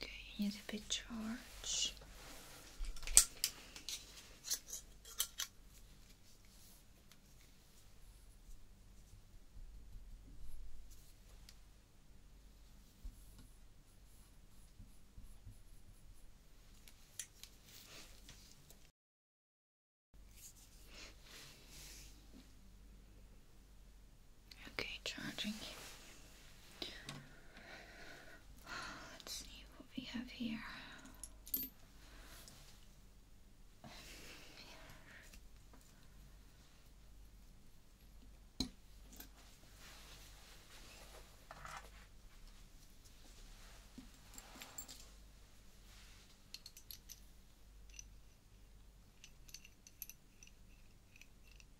Okay, you need a bit charge. Okay, charging. Let's see we have here.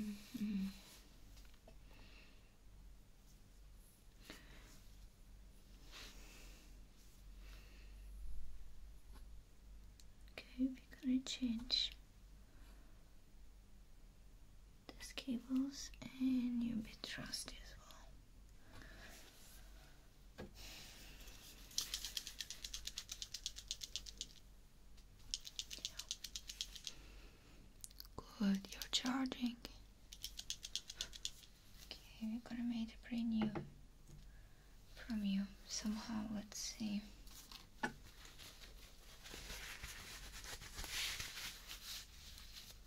Mm -hmm. Okay, we're gonna change these cables and you'll be trusty as well. Good, you're charging. Okay, we're gonna make it pretty new from you somehow. Let's see.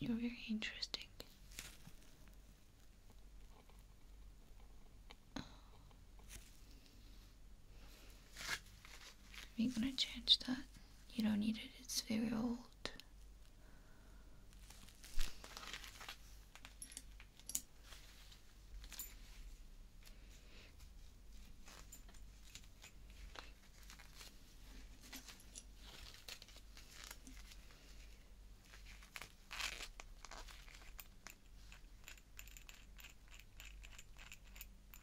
You're very interesting. We're gonna change that. You don't need it, it's very old.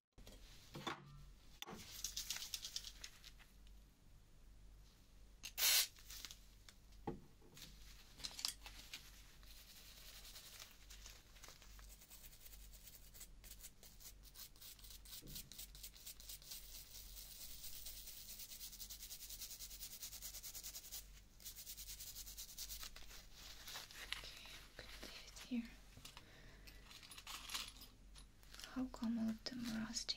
Okay, I'm gonna leave it here. How come all of them are rusty?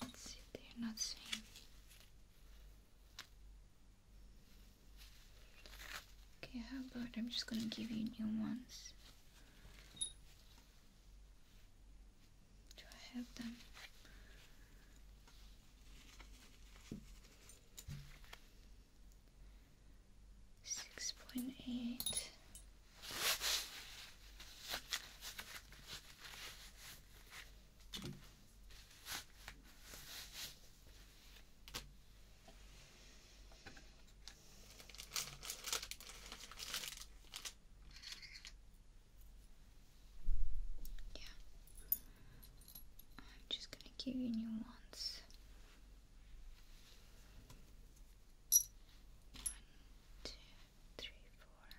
Let's see, they're not saying Okay, how about I'm just gonna give you new ones? Do I have them? Six point eight. Yeah. I'm just going to give you new ones. One, two, three, four, four,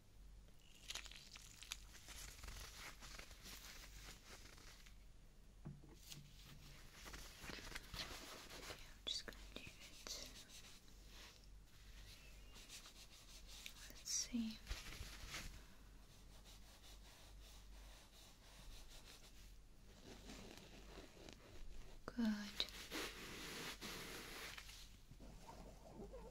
I'm just going to do it. Let's see. Good.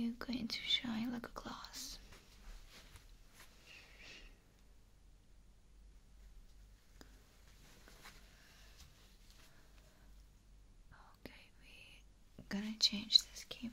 You're going to shine like a glass. Okay, we're gonna change this cable.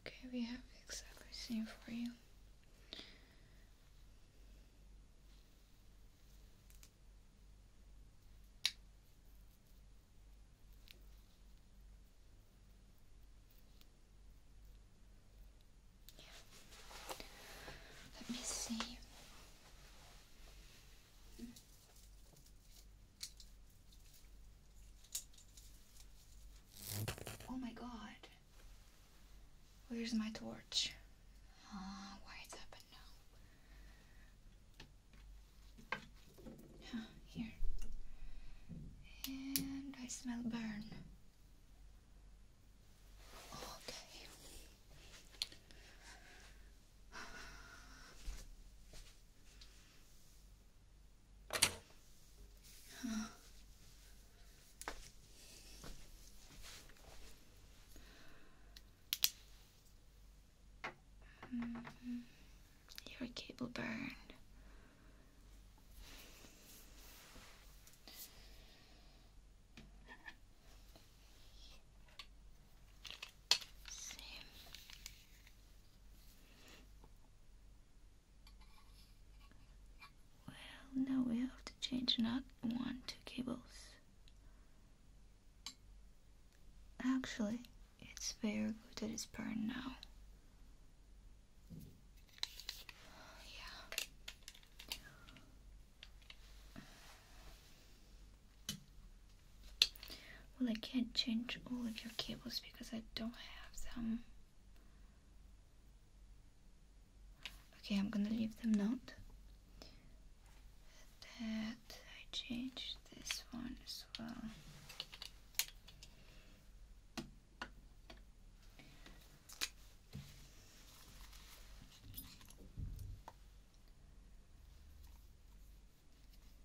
Okay, we have fixed same for you. Let me see. Oh my god. Where's my torch? Ah, why it's up and now? here. And I smell burn. Okay. Huh. Mm -hmm. Your cable burned. Well, now we have to change not one two cables. Actually, it's very good that it's burned now. Yeah. Well, I can't change all of your cables because I don't have them. Okay, I'm gonna leave them not. That I change this one as well.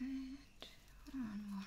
And one more.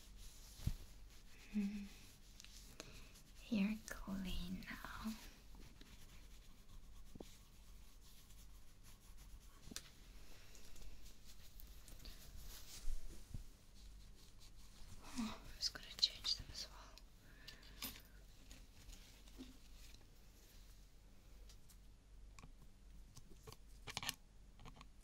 Mm. You're clean now. Oh, I'm just gonna change them as well.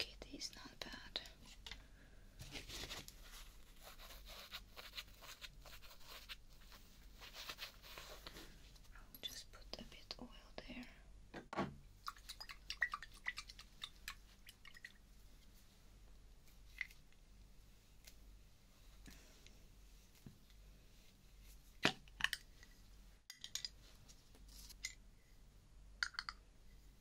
Okay, this is not bad. I'll just put a bit oil there.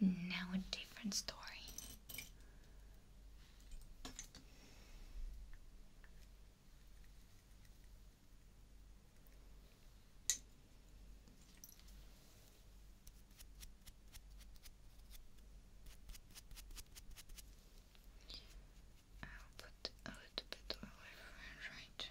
Okay, now a different story. I'll put a little bit of left right. Why not?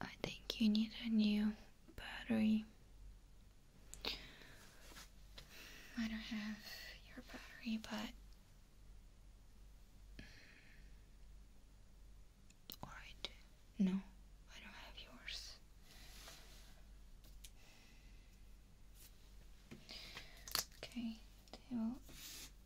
I think you need a new battery. I don't have your battery, but. Or I do. No, I don't have yours. Okay,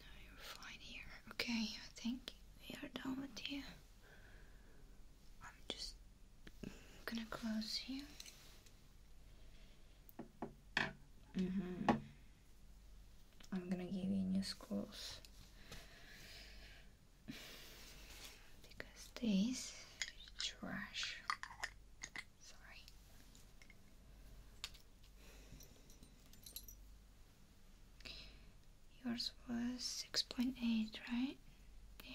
No, you're fine here. Okay, I think we are done with you. I'm just gonna close you. Mm hmm I'm gonna give you new scores because this trash. Sorry. Yours was six point eight, right? Yeah.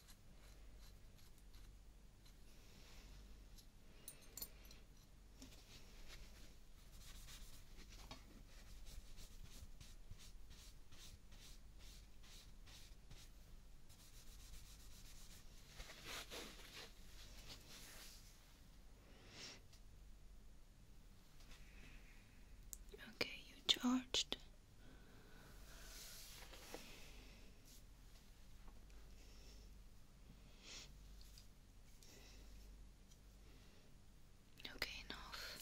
Okay, you charged. Okay, enough.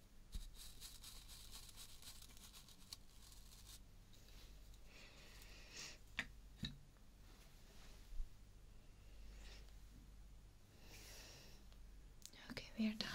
Okay, we are done.